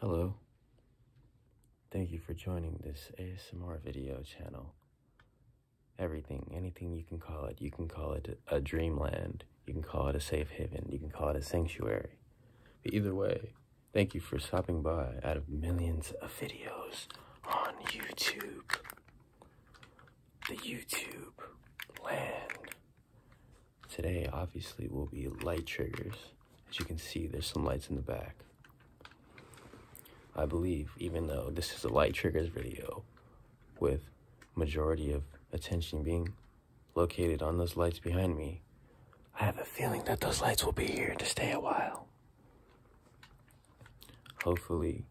Hello. Thank you for joining this ASMR video channel. Everything, anything you can call it. You can call it a dreamland. You can call it a safe haven. You can call it a sanctuary. But either way, thank you for stopping by out of millions of videos on YouTube. The YouTube land today obviously will be light triggers. As you can see, there's some lights in the back. I believe, even though this is a light triggers video, with majority of attention being located on those lights behind me, I have a feeling that those lights will be here to stay a while. Hopefully,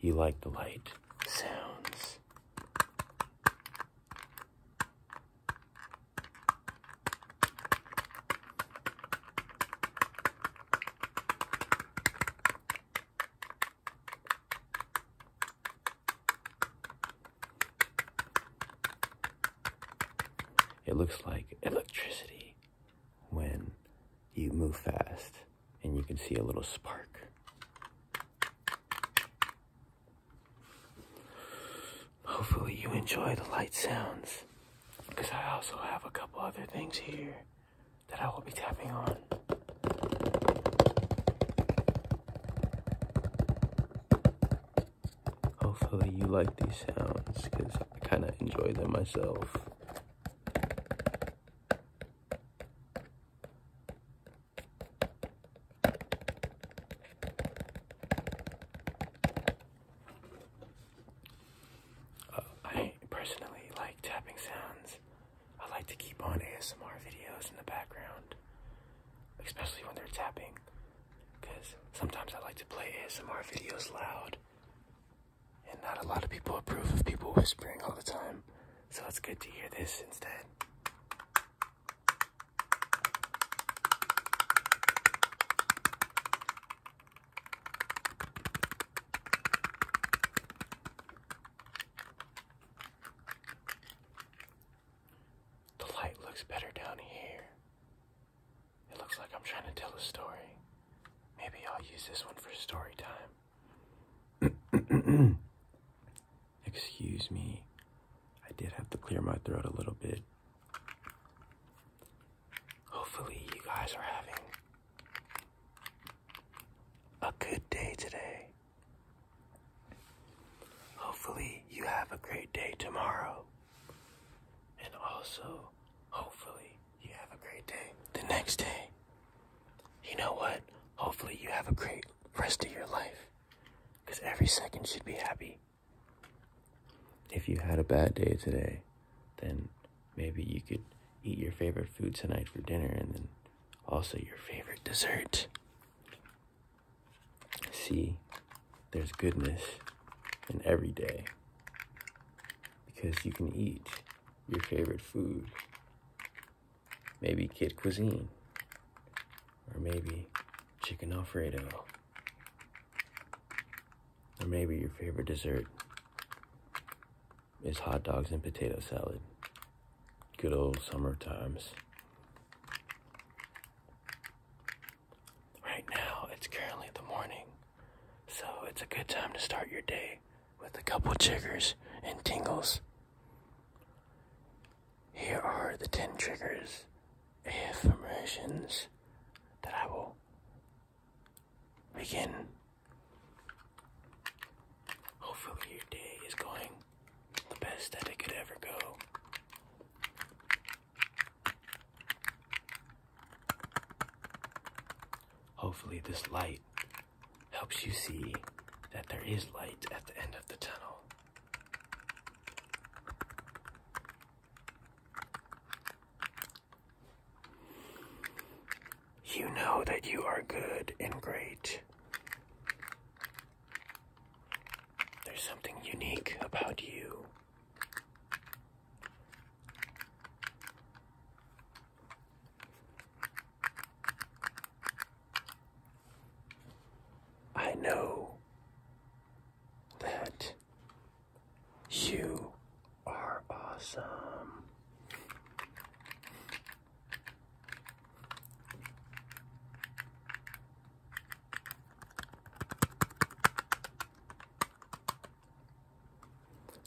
you like the light sounds. It looks like electricity when you move fast and you can see a little spark. Hopefully you enjoy the light sounds because I also have a couple other things here that I will be tapping on. Hopefully you like these sounds because I kind of enjoy them myself. Uh, I personally like tapping sounds. I like to keep on ASMR videos in the background, especially when they're tapping, because sometimes I like to play ASMR videos loud, and not a lot of people approve of people whispering all the time. So it's good to hear this instead. The light looks better down here. It looks like I'm trying to tell a story. Maybe I'll use this one for story time. Excuse me. I did have to clear my throat a little bit. Hopefully, you guys are having a good day today. Hopefully, you have a great day tomorrow. And also, hopefully, you have a great day the next day. You know what? Hopefully, you have a great rest of your life because every second should be happy. If you had a bad day today, then maybe you could eat your favorite food tonight for dinner and then also your favorite dessert. See, there's goodness in every day because you can eat your favorite food. Maybe kid cuisine. Or maybe chicken alfredo. Or maybe your favorite dessert is hot dogs and potato salad. Good old summer times. Right now, it's currently the morning, so it's a good time to start your day with a couple triggers and tingles. Here are the 10 triggers, AF that I will begin. Hopefully, your day is going the best that it could ever go. Hopefully, this light helps you see that there is light at the end of the tunnel. You know that you are good and great. There's something unique about you. I know that you are awesome.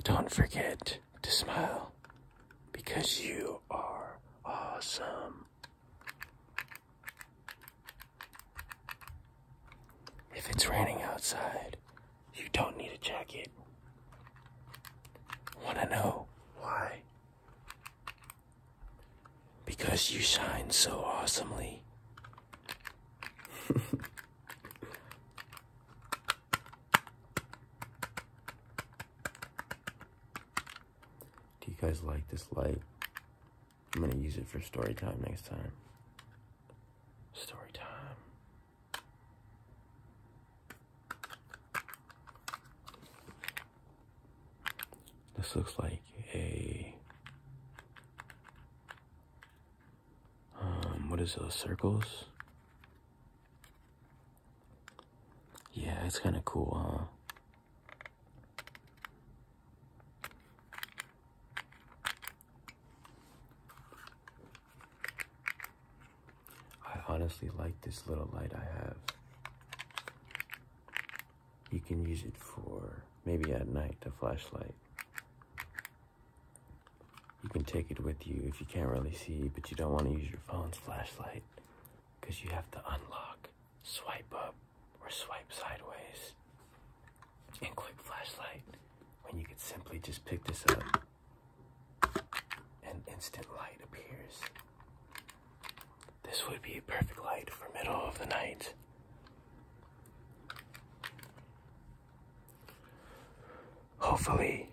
Don't forget to smile because you are awesome. If it's raining outside, you don't need a jacket. Want to know why? Because you shine so awesomely. Do you guys like this light? I'm going to use it for story time next time. Story time. This looks like a um, what is those circles? Yeah, it's kind of cool, huh? I honestly like this little light I have. You can use it for maybe at night, to flashlight you can take it with you if you can't really see, but you don't want to use your phone's flashlight because you have to unlock, swipe up, or swipe sideways, and click flashlight when you could simply just pick this up and instant light appears. This would be a perfect light for middle of the night. Hopefully,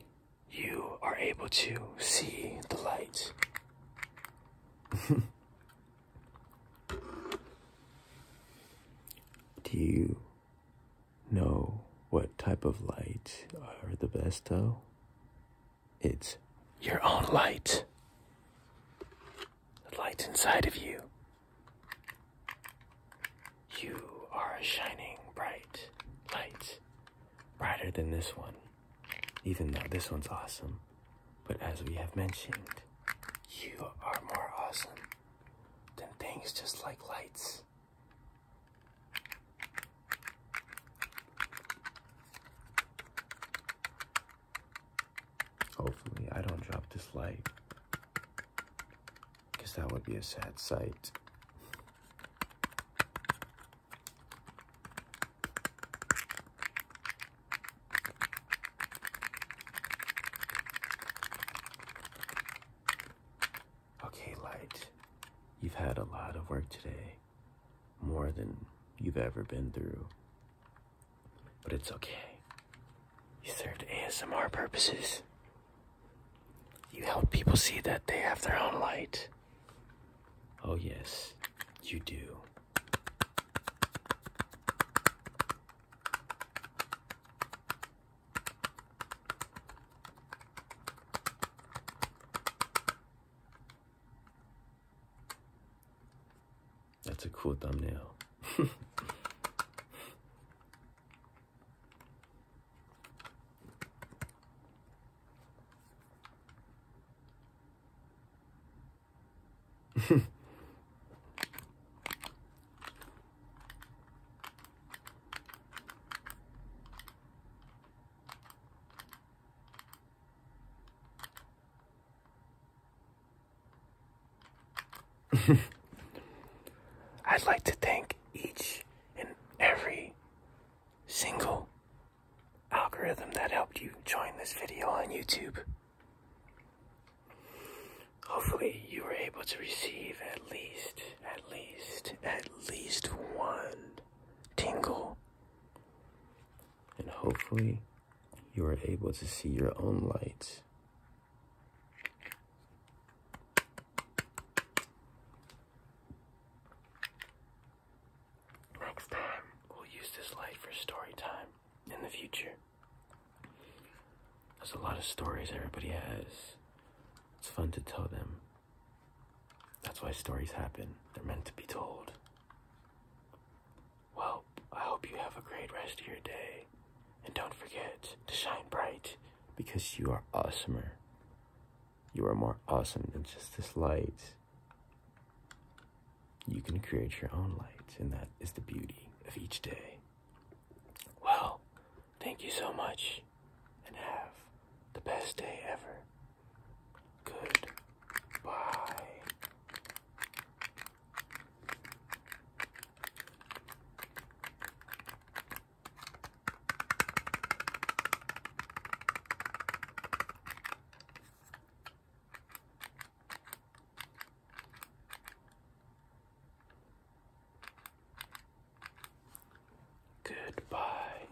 you are able to see the light. Do you know what type of light are the best, Oh, It's your own light. The light inside of you. You are a shining bright light, brighter than this one, even though this one's awesome. But as we have mentioned, you are more awesome than things just like lights. Hopefully, I don't drop this light. Because that would be a sad sight. Okay, Light, you've had a lot of work today, more than you've ever been through. But it's okay. You served ASMR purposes. You help people see that they have their own light. Oh, yes, you do. That's a cool thumbnail. I'd like to thank each and every single algorithm that helped you join this video on YouTube. Hopefully you were able to receive at least, at least, at least one tingle and hopefully you are able to see your own light. Next time, we'll use this light for story time in the future. There's a lot of stories everybody has. It's fun to tell them. That's why stories happen. They're meant to be told. Well, I hope you have a great rest of your day. And don't forget to shine bright because you are awesomer. You are more awesome than just this light. You can create your own light, and that is the beauty of each day. Well, thank you so much, and have the best day ever. Goodbye. Goodbye.